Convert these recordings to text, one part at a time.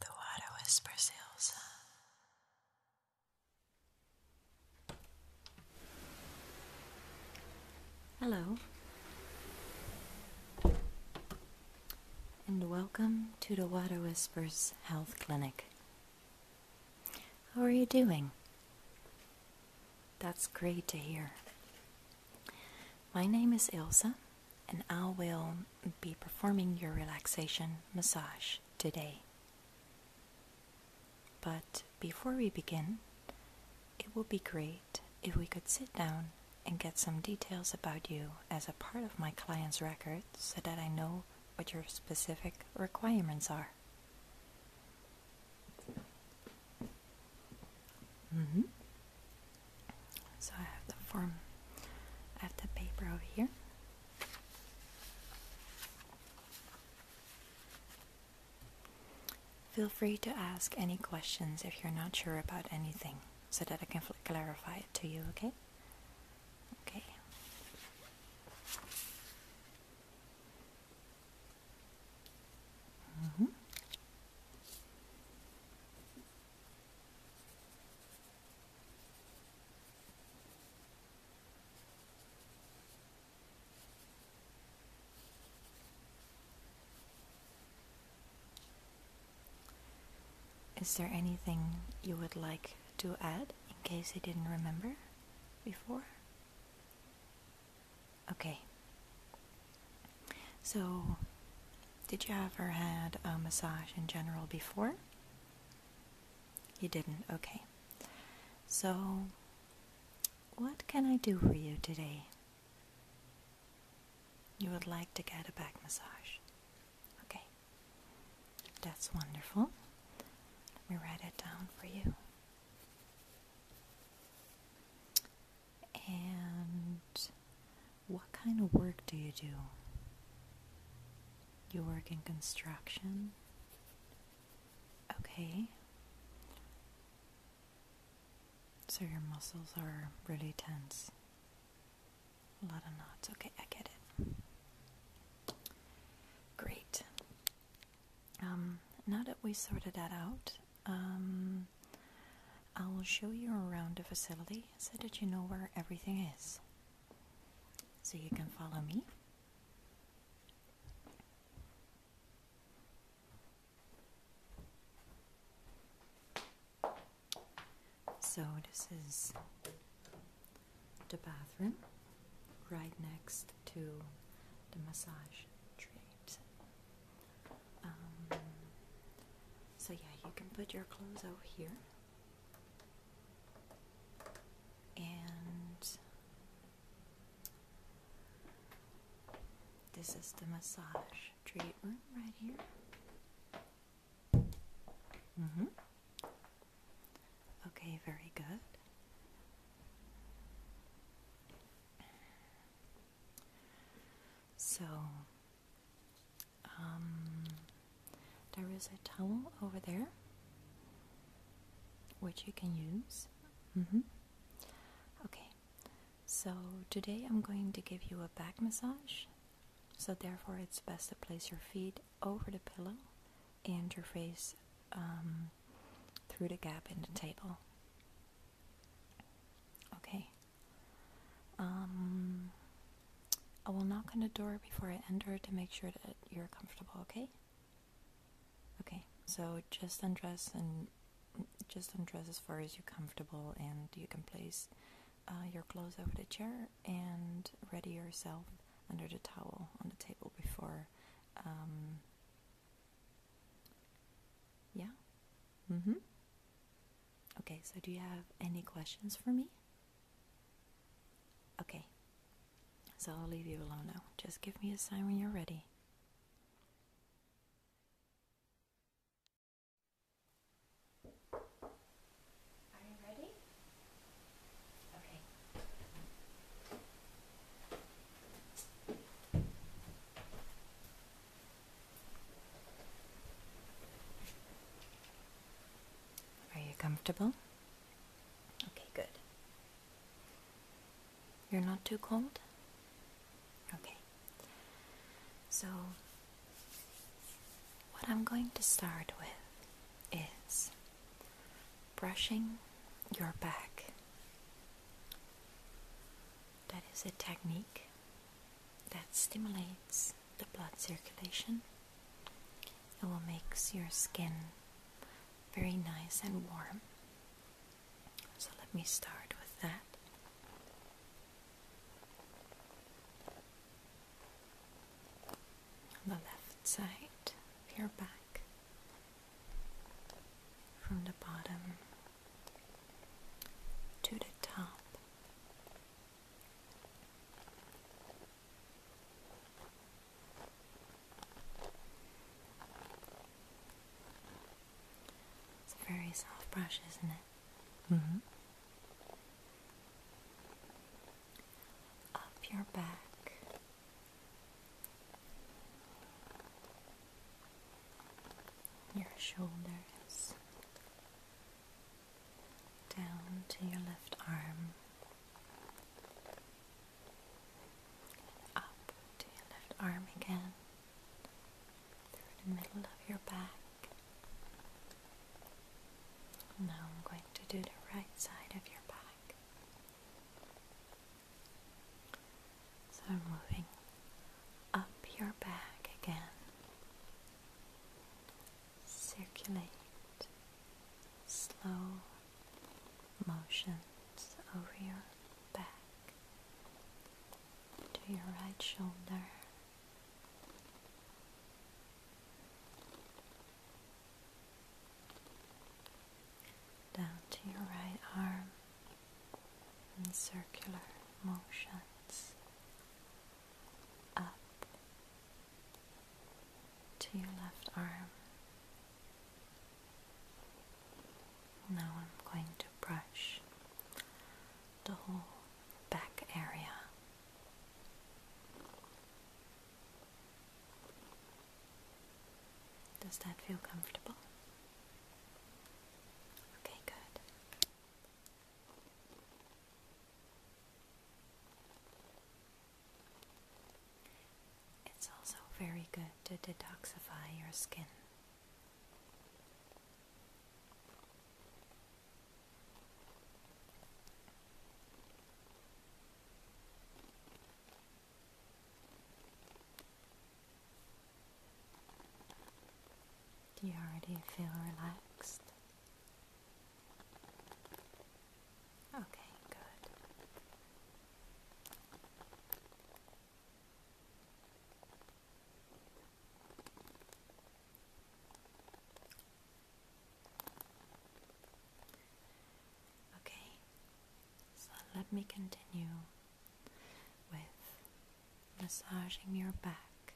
The water whispers Ilsa. Hello. And welcome to the Water Whispers Health Clinic. How are you doing? That's great to hear. My name is Ilsa, and I will be performing your relaxation massage today. But before we begin, it would be great if we could sit down and get some details about you as a part of my client's record so that I know what your specific requirements are. Mm-hmm. So I have the form, I have the paper over here. Feel free to ask any questions if you're not sure about anything so that I can clarify it to you, okay? Okay. Mm-hmm. Is there anything you would like to add in case I didn't remember before? Okay. So, did you ever had a massage in general before? You didn't. Okay. So, what can I do for you today? You would like to get a back massage. Okay. That's wonderful. Let me write it down for you. And what kind of work do you do? You work in construction? Okay. So your muscles are really tense. A lot of knots. Okay, I get it. Great. Um, now that we sorted that out, um, I will show you around the facility so that you know where everything is. So you can follow me. So this is the bathroom right next to the massage treat. Um, so, yeah, you can put your clothes over here. And this is the massage treatment right here. Mm hmm. Okay, very good. So, um, there is a towel over there which you can use. Mm-hmm. Okay, so today I'm going to give you a back massage. So, therefore, it's best to place your feet over the pillow and your face um, through the gap in the table. Okay. Um, I will knock on the door before I enter to make sure that you're comfortable, okay? Okay, so just undress and just undress as far as you're comfortable, and you can place uh, your clothes over the chair and ready yourself under the towel on the table before. Um, yeah? Mm hmm. Okay, so do you have any questions for me? Okay, so I'll leave you alone now. Just give me a sign when you're ready. Are you ready? Okay. Are you comfortable? Okay, good. You're not too cold? Okay. So, what I'm going to start with is brushing your back. That is a technique that stimulates the blood circulation. It will make your skin very nice and warm. So let me start with that. the left side of your back, from the bottom to the top. It's a very soft brush, isn't it? Mm-hmm. Up your back. Your shoulders down to your left arm, up to your left arm again, through the middle of your back. Now I'm going to do the right side of your back. So I'm moving up your back again circulate slow motions over your back to your right shoulder. Down to your right arm in circular motions up to your left arm. Now I'm going to brush the whole back area. Does that feel comfortable? Okay, good. It's also very good to detoxify your skin. Do you already feel relaxed? Okay, good. Okay, so let me continue with massaging your back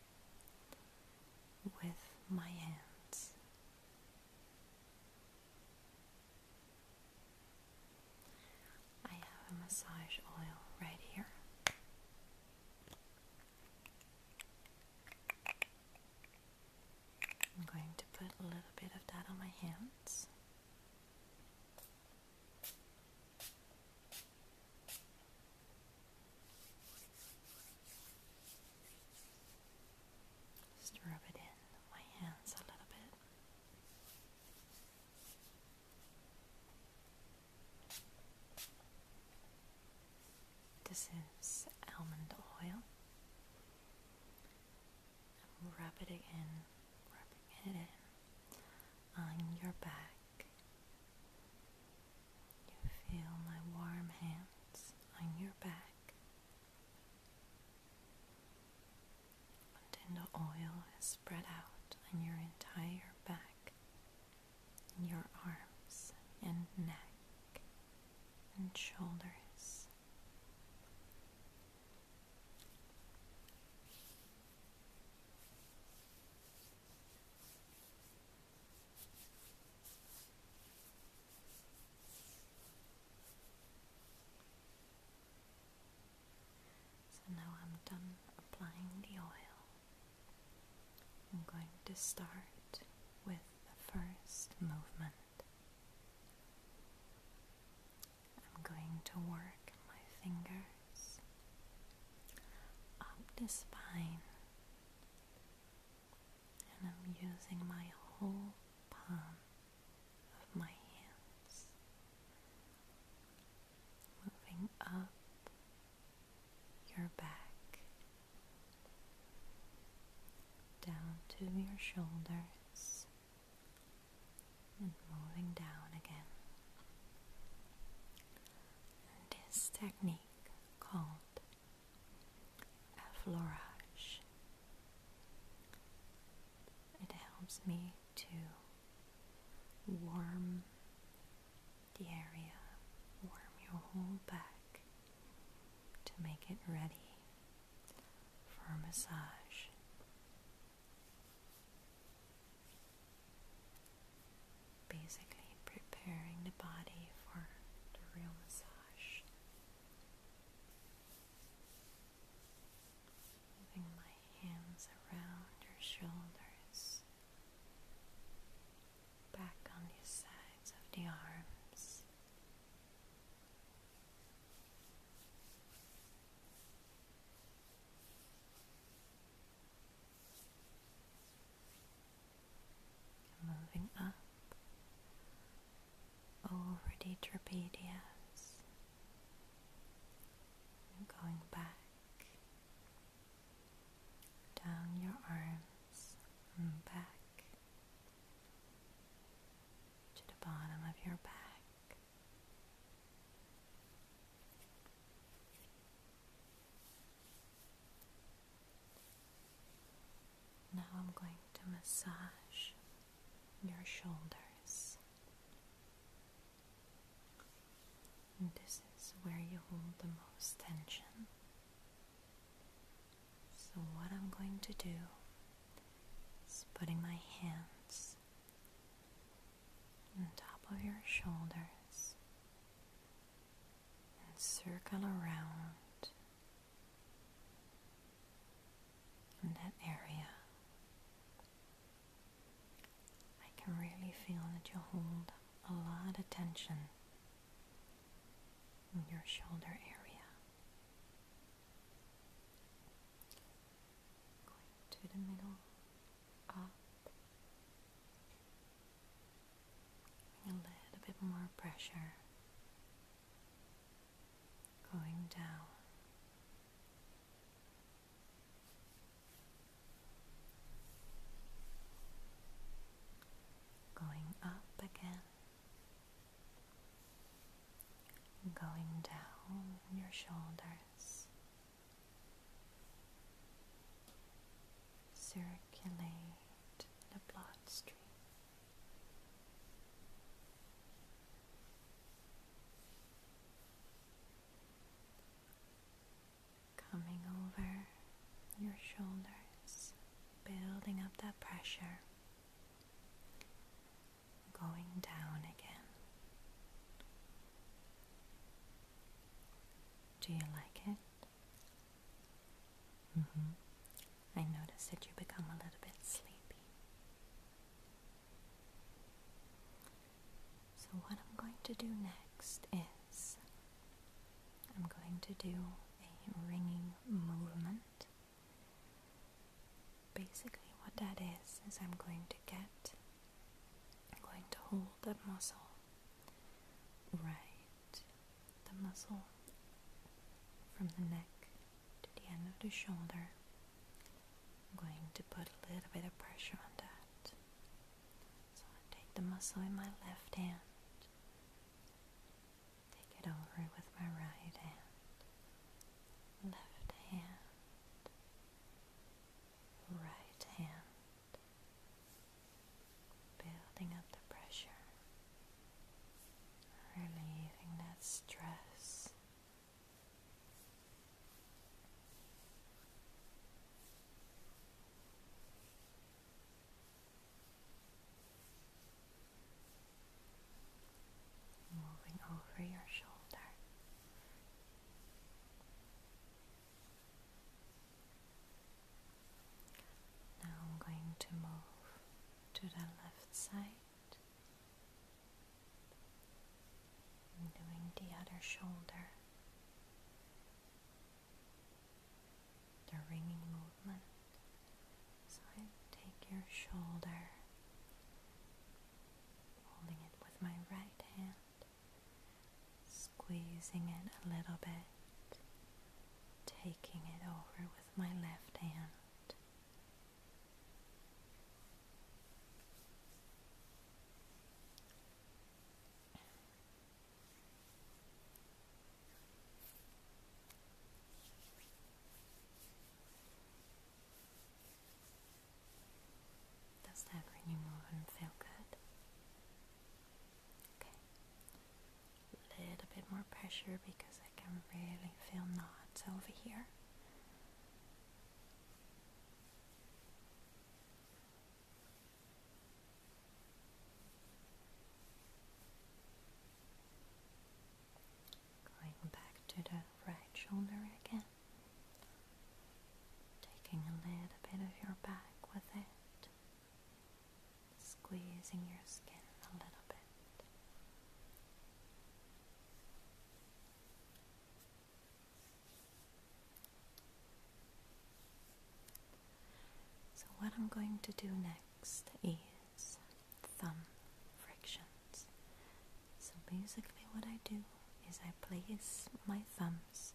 with my hands. I have a massage oil right here. I'm going to put a little bit of that on my hands. Just rub it in my hands a little bit. This is almond oil. Rub it again, rubbing it in on your back you feel my warm hands on your back until the oil is spread out on your entire back, your arms and neck and shoulders. So now I'm done applying the oil. I'm going to start with the first movement. I'm going to work my finger up the spine, and I'm using my whole palm of my hands, moving up your back, down to your shoulders, and moving down again. this technique thing called Affleurage. It helps me to warm the area, warm your whole back to make it ready for a massage. Basically, preparing the body for the real massage. Moving my hands around your shoulders, back on the sides of the arms. Moving up over the trapezius and going back down your arms and back to the bottom of your back. Now I'm going to massage your shoulders. this is where you hold the most tension. So, what I'm going to do is putting my hands on top of your shoulders and circle around in that area. I can really feel that you hold a lot of tension in your shoulder area. Going to the middle a little bit more pressure going down. Going up again, going down your shoulders, circulate the bloodstream. Coming over your shoulders, building up that pressure, going down again. Do you like it? Mm-hmm. I notice that you become a little bit sleepy. So, what I'm going to do next is I'm going to do a ringing movement. Basically, what that is, is I'm going to get, I'm going to hold that muscle Right. The muscle from the neck to the end of the shoulder. I'm going to put a little bit of pressure on that. So I take the muscle in my left hand, take it over with my right hand, left hand, right hand building up the pressure, relieving that stress. Moving over your shoulder, now I'm going to move to the left side. i doing the other shoulder. The ringing movement. So I take your shoulder, holding it with my right hand squeezing it a little bit, taking it over with my left hand. Does that bring you more and feel good? Okay. A little bit more pressure because I can really feel knots over here. Going back to the right shoulder again. Taking a little bit of your back with it squeezing your skin a little bit. So, what I'm going to do next is thumb frictions. So, basically, what I do is I place my thumbs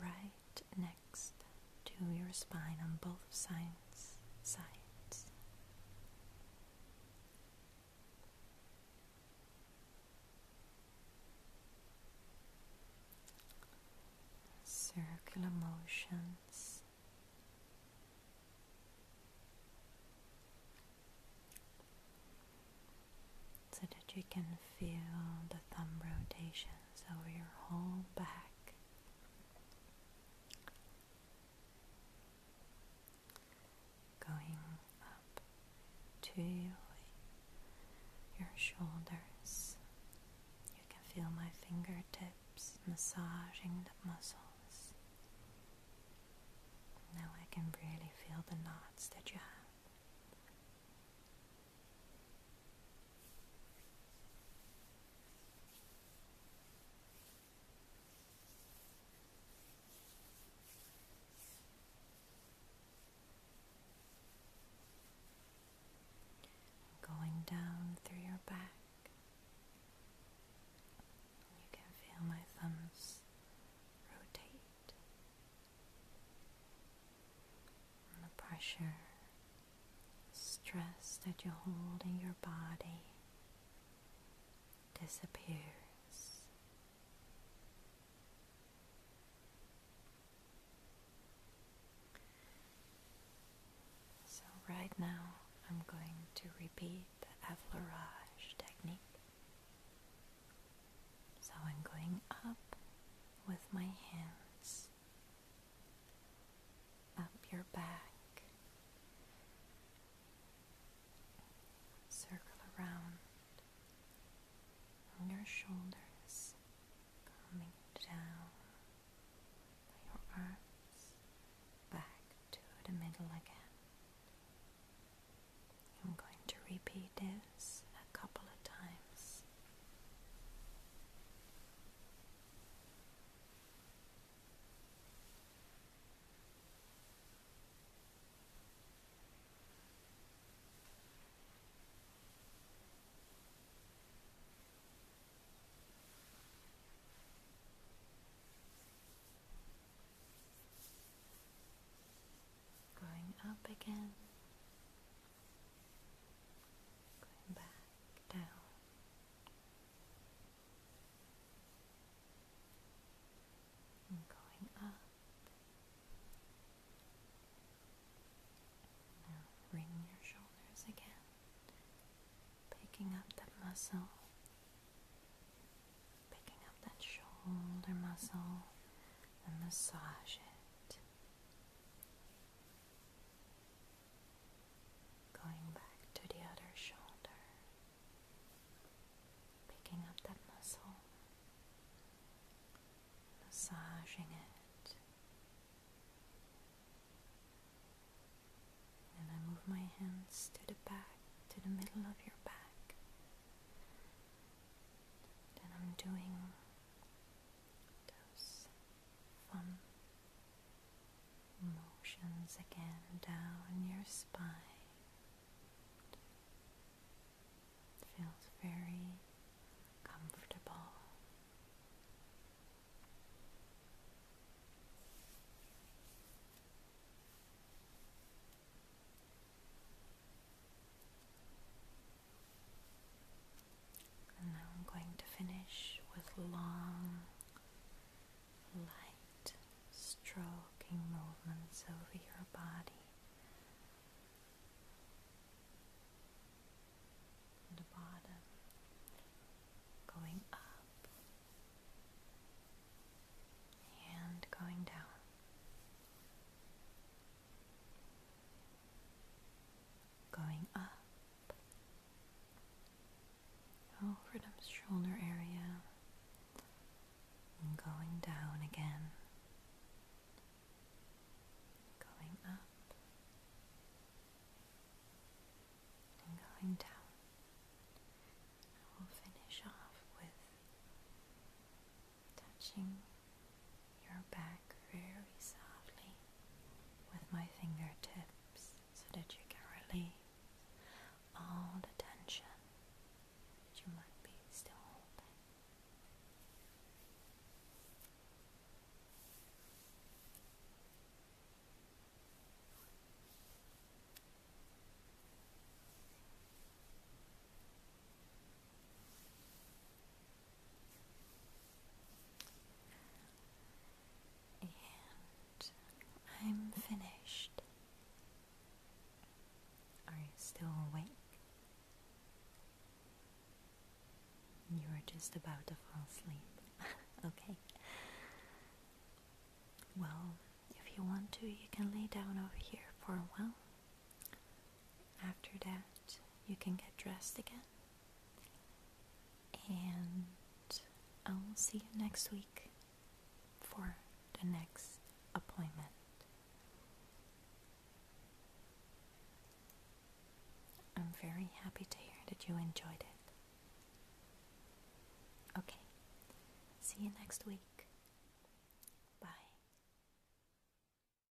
right next to your spine on both sides. sides. Circular motions so that you can feel the thumb rotations over your whole back. Going up to your shoulders. You can feel my fingertips massaging the muscles. Now I can really feel the knots that you have. Going down through your back, you can feel my thumbs rotate the pressure, stress that you hold in your body disappears. So, right now, I'm going to repeat the effleurage technique so I'm going up with my hands, up your back, circle around on your shoulders, coming down your arms back to the middle again. I'm going to repeat it a couple of times growing up again, going back down. going up. bring your shoulders again, picking up that muscle, picking up that shoulder muscle, and massage it. Going back to the other shoulder, picking up that muscle, massaging it. And I move my hands to the back, to the middle of your back. Then I'm doing those fun motions again down your spine. feels very comfortable. And now I'm going to finish with long, light stroking movements over your body. The bottom going up and going down going up over the shoulder area and going down again, going up and going down. I will finish off with touching your back very softly with my fingertips so that you can release all the tension that you might be still holding. And I'm finished. Are you still awake? You are just about to fall asleep. okay. Well, if you want to, you can lay down over here for a while after that, you can get dressed again. And I will see you next week for the next appointment. I'm very happy to hear that you enjoyed it. Okay, see you next week.